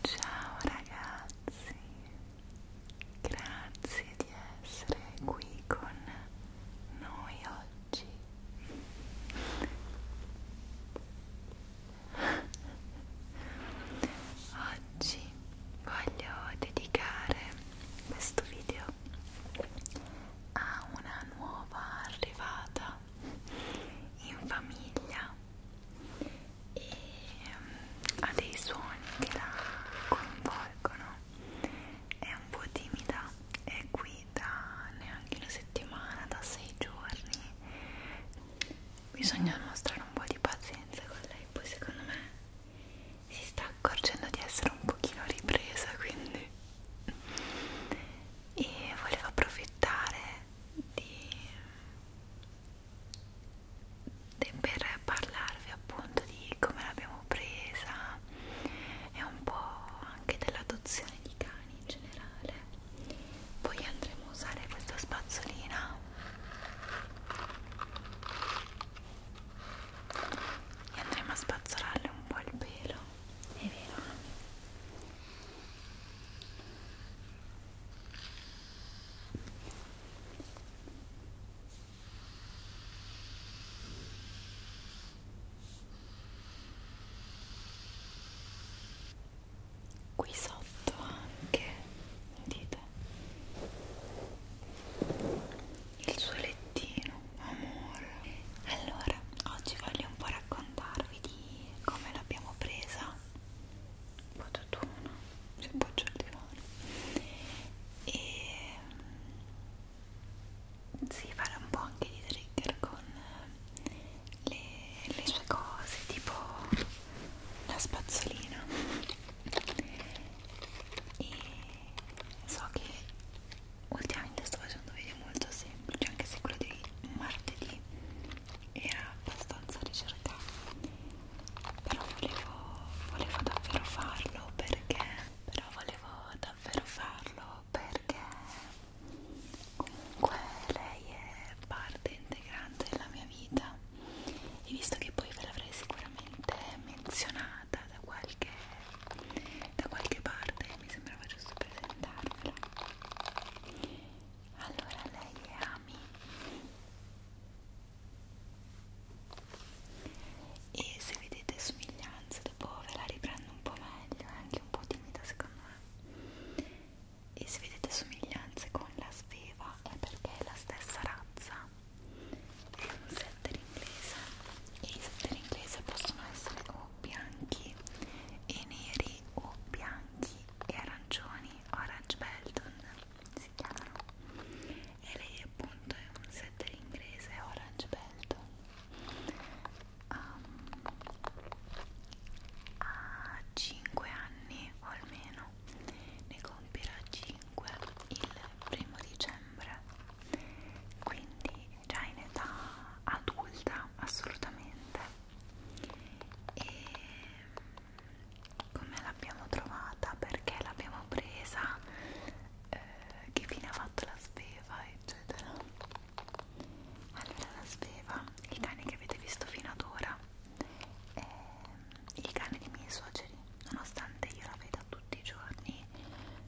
Ciao ragazzi, grazie di essere qui con noi oggi. Oggi voglio dedicare questo video a una nuova arrivata in famiglia e ehm, a dei suoni che la coinvolgono. È un po' timida, è qui da neanche una settimana, da sei giorni bisogna mostrare un po' di pazienza con lei poi secondo me si sta accorgendo di essere un pochino ripresa quindi e volevo approfittare di per parlarvi appunto di come l'abbiamo presa e un po' anche dell'adozione di cani mani in generale poi andremo a usare questa spazzolina e andremo a spazzolarle un po' il pelo è vero? qui sotto anche vedete il suo lettino amore allora oggi voglio un po' raccontarvi di come l'abbiamo presa un po' tutuna si appoggia al divano e mm, si farà un po' anche di trigger con le, le sue cose, tipo la spazzolina e so che ultimamente sto facendo video molto semplici anche se quello di martedì era abbastanza ricercato però volevo, volevo davvero farlo perché però volevo davvero farlo perché comunque lei è parte integrante della mia vita e visto che poi ve l'avrei sicuramente menzionata da qualche, da qualche parte mi sembrava giusto presentarvela allora lei è Ami e se vedete somiglianze dopo ve la riprendo un po' meglio è anche un po' timida secondo me e se vedete somiglianze con la sveva è perché è la stessa razza è un setter inglese e i setter inglese possono essere o bianchi e neri o bianchi e arancioni orange belton si chiamano e lei appunto è un setter inglese orange belton um, a 5 anni o almeno ne compirà 5 il primo dicembre quindi già in età adulta assolutamente e come l'abbiamo trovata perché l'abbiamo presa eh, che fine ha fatto la spesa eccetera allora la sveva il cane che avete visto fino ad ora è ehm, il cane dei miei suoceri nonostante io la veda tutti i giorni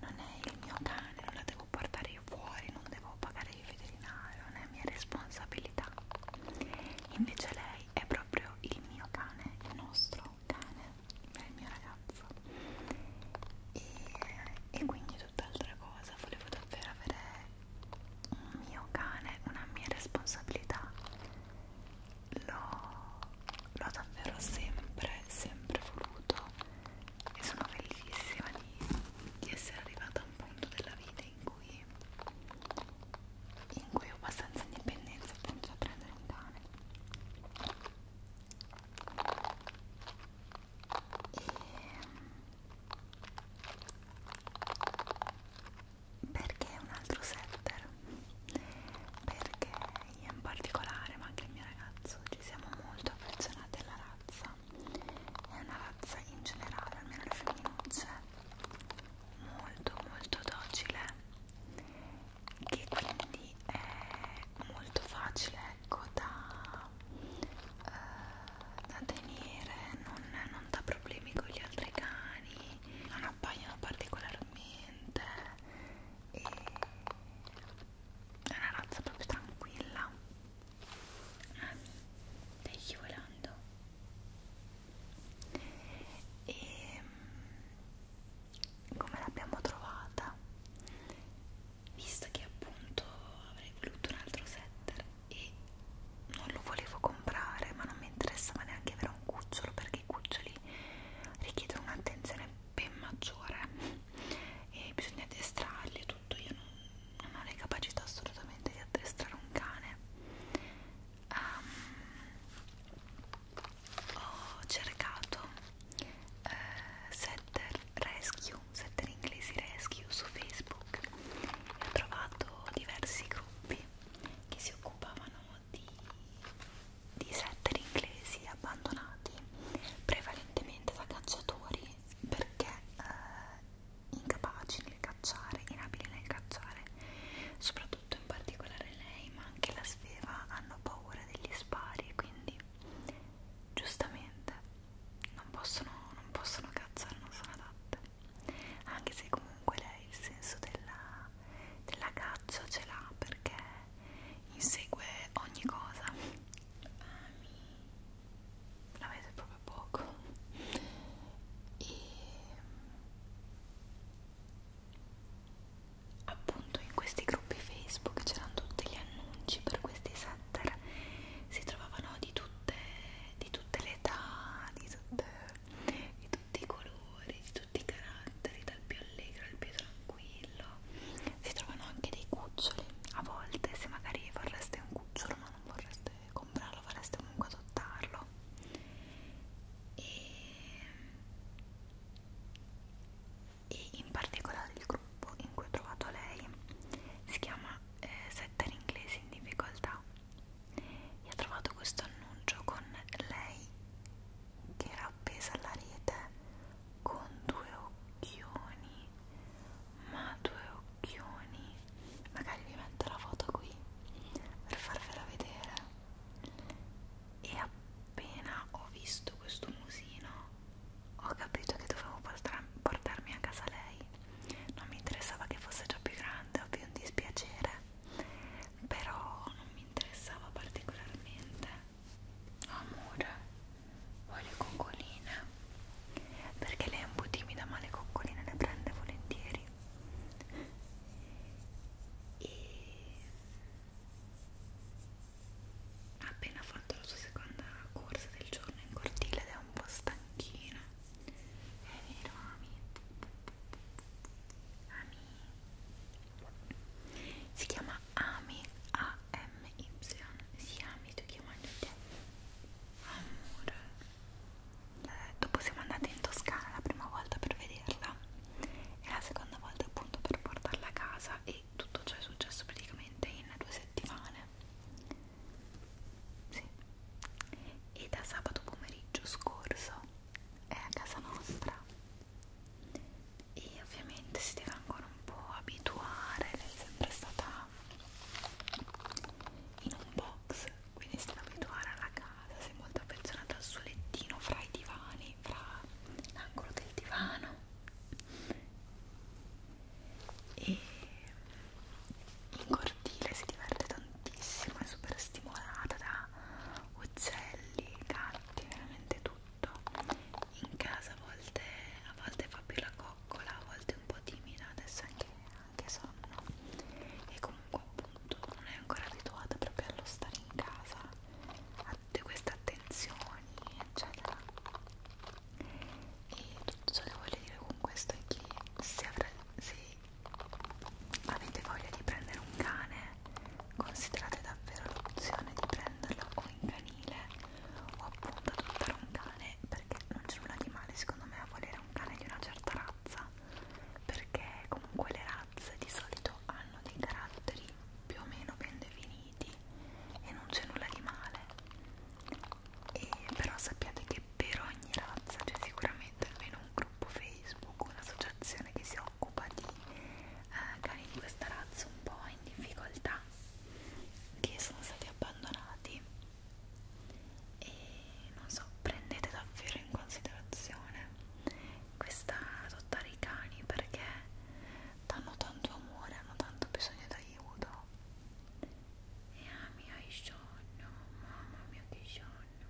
non è il mio cane non la devo portare io fuori non devo pagare il veterinario non è mia responsabilità invece lei è proprio il mio cane il nostro cane è il mio ragazzo e, e quindi tutt'altra cosa, volevo davvero avere un mio cane, una mia responsabilità. L'ho davvero sempre, sempre voluto e sono felicissima di, di essere arrivata a un punto della vita in cui, in cui ho abbastanza indipendenza appunto da prendere un cane. E perché un altro setter? Perché io in particolare, ma anche il mio ragazzo, ci siamo molto affezionati alla razza. È una razza in generale, almeno le femminucce, cioè, molto molto docile, che quindi è molto facile ecco da eh, da tenere, non, non dà problemi con gli altri cani, non appaiono particolarmente e è una razza proprio tranquilla. Ah, ehm, stai scivolando. E ehm, come l'abbiamo trovata? visto che appunto avrei voluto un altro setter e non lo volevo comprare ma non mi interessava neanche avere un cucciolo perché i cuccioli richiedono un'attenzione ben maggiore e bisogna addestrarli e tutto io non, non ho le capacità assolutamente di addestrare un cane um, ho cercato eh, setter rescue un setter inglesi rescue su Facebook e ho trovato diversi gruppi che si occupavano di, di setter inglesi abbandonati prevalentemente da cacciatori perché eh, incapaci nel cacciare, inabili nel cacciare soprattutto in particolare lei ma anche la Sveva hanno paura degli spari e quindi giustamente non possono, non possono cazzare, non sono adatte anche se comunque lei il senso della, della caccia ce l'ha perché insegue ogni cosa la vede proprio poco e appunto in questi gruppi Facebook c'erano tutti gli annunci per questi set carattere si trovavano di tutte, di tutte le età di, tutte, di tutti i colori di tutti i caratteri dal più allegro al più tranquillo si trovano anche dei cuccioli a volte se magari vorreste un cucciolo ma non vorreste comprarlo vorreste comunque adottarlo e e in particolare il gruppo in cui ho trovato lei si chiama eh, Setta in inglese in difficoltà e ho trovato questo annuncio con lei che era appesa alla rete con due occhioni ma due occhioni magari vi metto la foto qui per farvela vedere e appena ho visto questo musino ho capito che dovevo portarmi a casa lei non mi interessava che fosse già più grande ovvio un dispiacere però non mi interessava particolarmente amore voglio coccoline perché lei è un po' timida ma le coccoline le prende volentieri e ha appena fatto la sua seconda corsa del giorno in cortile ed è un po' stanchina è vero Ami? Ami si chiama Ami A-M-Y si Ami tu chiamagli te amore eh, dopo siamo andati in Toscana la prima volta per vederla e la seconda volta appunto per portarla a casa e tutto ciò è successo praticamente in due settimane sì. e da sabato pomeriggio scorso è a casa nostra e ovviamente si deve ancora un po' abituare lei è sempre stata in un box quindi si deve abituare alla casa si è molto affezionata al suo lettino fra i divani fra l'angolo del divano e in cortile si diverte tantissimo, è super stimolata da uccelli, gatti, veramente tutto in casa a volte, a volte fa più la coccola, a volte è un po' timida, adesso anche, anche sonno e comunque appunto non è ancora abituata proprio allo stare in casa a tutte queste attenzioni eccetera e tutto ciò che voglio dire con questo è che se, avre, se avete voglia di prendere un cane considerate davvero l'opzione di prenderlo o in canile o appunto adottare un cane perché non c'è nulla di male secondo me a volere un cane di una certa razza perché comunque le razze di solito hanno dei caratteri più o meno ben definiti uniti e non c'è nulla di male e però sappiate che per ogni razza c'è sicuramente almeno un gruppo Facebook un'associazione che si occupa di eh, cani di questa razza un po' in difficoltà che sono stati abbandonati e non so prendete davvero in considerazione questa adottare i cani perché danno tanto amore, hanno tanto bisogno d'aiuto. E ami ah, hai sonno, mamma mia che sonno.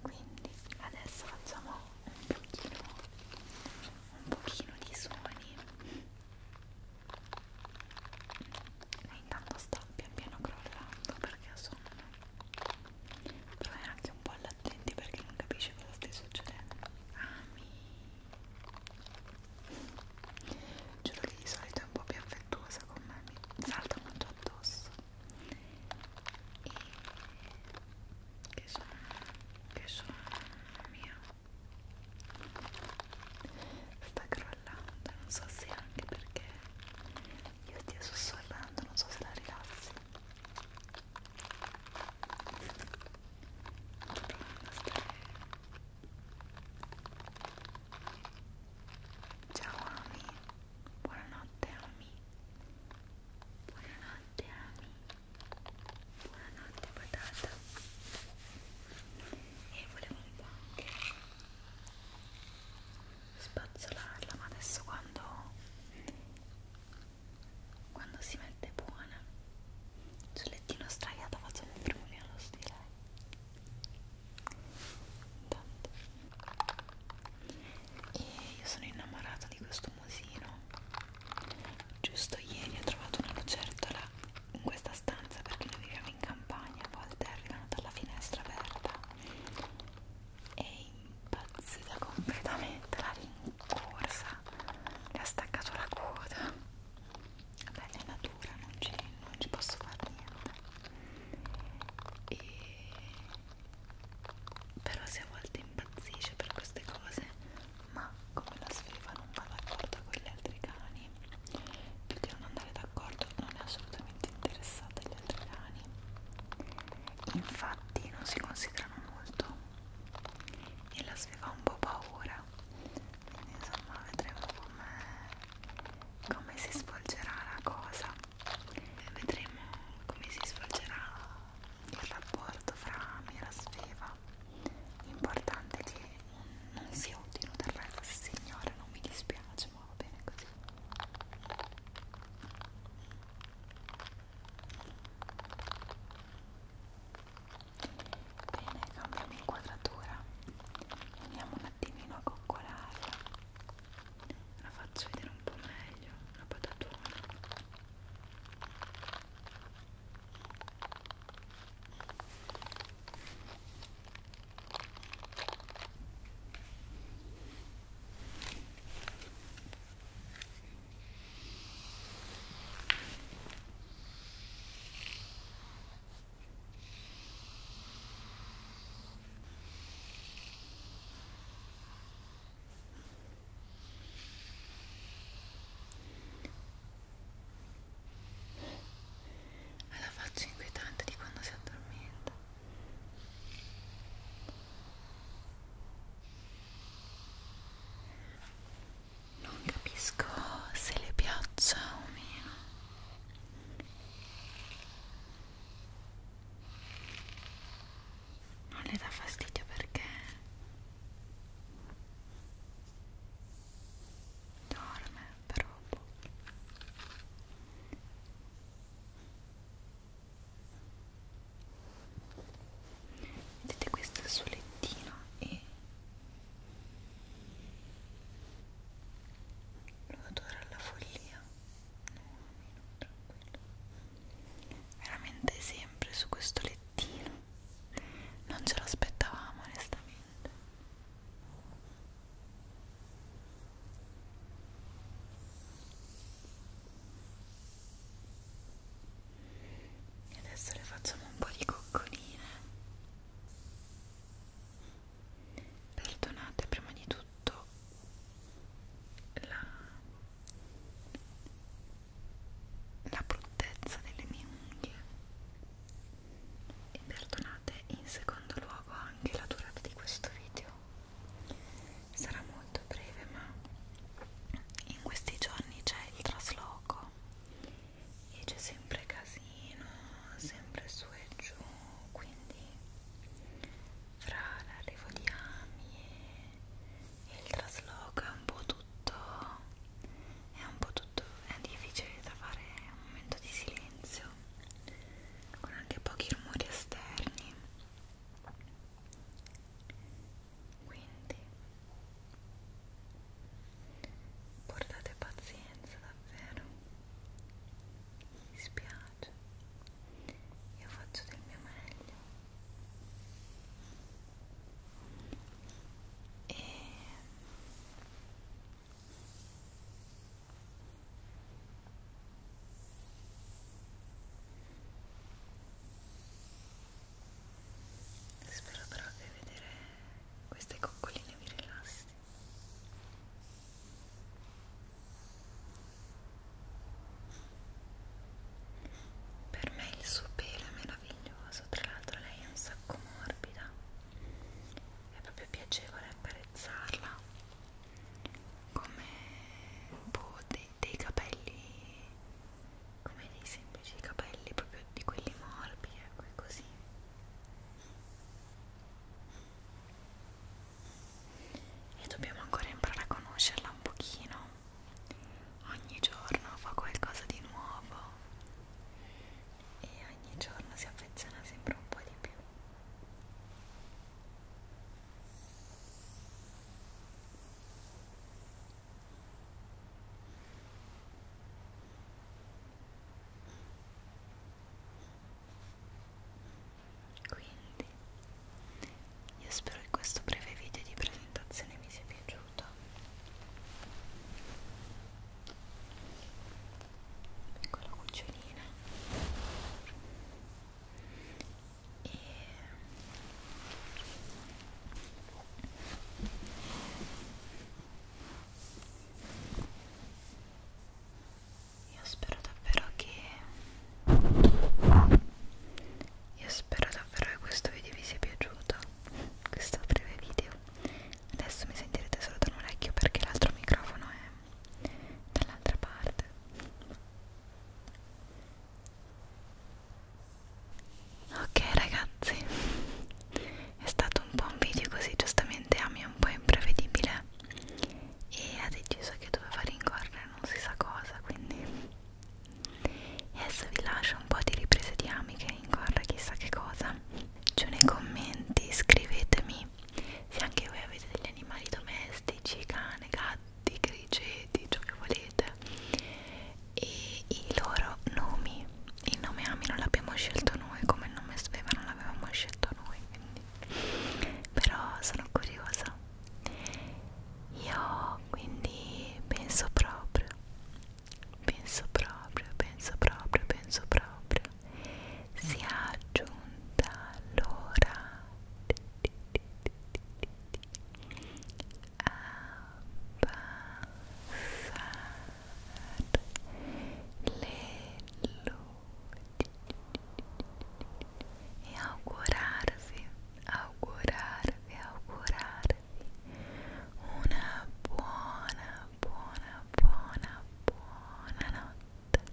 Quindi adesso facciamo un pochino, un pochino di suoni. E intanto sta pian piano crollando perché ha sonno. Però è anche un po' allattenti perché non capisce cosa stia succedendo. Ami. Ah, giuro che di solito è un po' più affettuosa con me mi salta molto addosso e che sono che sono mamma mia sta crollando non so se anche perché io ti sto sorrando non so se la rilassi Ciao Ami, buonanotte Ami, buonanotte Ami, buonanotte patata e volevo un po' anche spazzolarla ma adesso quando quando si mette buona sul lettino straiato facciamo un premolino allo stile Intanto. e io sono innamorata di questo musino giusto ieri ho trovato una lucertola in questa stanza perché noi viviamo in campagna a volte arrivano dalla finestra aperta e impazzita completamente la ringa corsa le ha staccato la coda vabbè è natura non ci, non ci posso fare niente e... però se a volte impazzisce per queste cose ma come la sfida non va d'accordo con gli altri cani più che non andare d'accordo non è assolutamente interessata agli altri cani infatti non si considerano molto e la si fa un po' paura quindi insomma vedremo come com si svolgerà la cosa e vedremo come si svolgerà il rapporto fra me e la sveva l'importante è che non sia utile del resto signore non mi dispiace ma va bene così Bene, cambiamo inquadratura. Andiamo un attimino a coccolarla. La faccio vedere un po' meglio, la patatona. Ha la faccia inquietante di quando si addormenta non capisco se le piaccia o meno non le dà fastidio perché dorme proprio vedete questo è il suo lettino e lo adoro alla follia no, no, veramente sempre su questo lettino non ce l'aspettavamo onestamente e adesso le facciamo un po' di coccoline perdonate prima di tutto la, la bruttezza delle mie unghie e perdonate in secondo luogo anche la durata di questo video sarà molto breve ma in questi giorni c'è il trasloco e c'è sempre casino sempre su e giù quindi fra l'arrivo di Ami e, e il trasloco è un po' tutto è un po' tutto è difficile trovare un momento di silenzio con anche pochi rumori esterni quindi portate pazienza davvero mi spiace io faccio del mio meglio e Spero però che vedere queste coccoline vi rilassi. Per me il suo pelo è meraviglioso, tra l'altro lei è un sacco morbida, è proprio piacevole accarezzarla come boh, dei, dei capelli come dei semplici capelli proprio di quelli morbidi ecco e così e dobbiamo ancora imparare a conoscerla un pochino ogni giorno fa qualcosa di nuovo e ogni giorno si affeziona sempre un po' di più quindi io spero che questo breve video di presentazione vi sia piaciuto. Piccola cucciolina e io spero davvero che io spero davvero che questo video vi sia piaciuto questo breve video adesso mi sentirete solo da un orecchio perché l'altro microfono è dall'altra parte Ok ragazzi, è stato un po' un video così, giustamente Ami è un po' imprevedibile e ha deciso che doveva rincorrere non si sa cosa, quindi e adesso vi lascio un po' di riprese di Ami che rincorre chissà che cosa. Giù nei commenti scrivetemi se anche voi avete degli animali domestici, cane, gatto di grigi, di ciò che volete e i loro nomi il nome Ami non l'abbiamo scelto noi come il nome Sveva non l'avevamo scelto noi quindi. però sono curiosa io quindi penso proprio penso proprio penso proprio penso proprio sia giunta l'ora e augurarvi, augurarvi, augurarvi una buona, buona, buona, buona notte.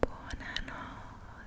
Buonanotte,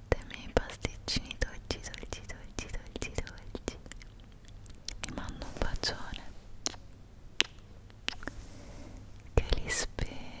latte, i miei pasticcini dolci, dolci, dolci, dolci, dolci. Vi mando un bacione. Che li spera.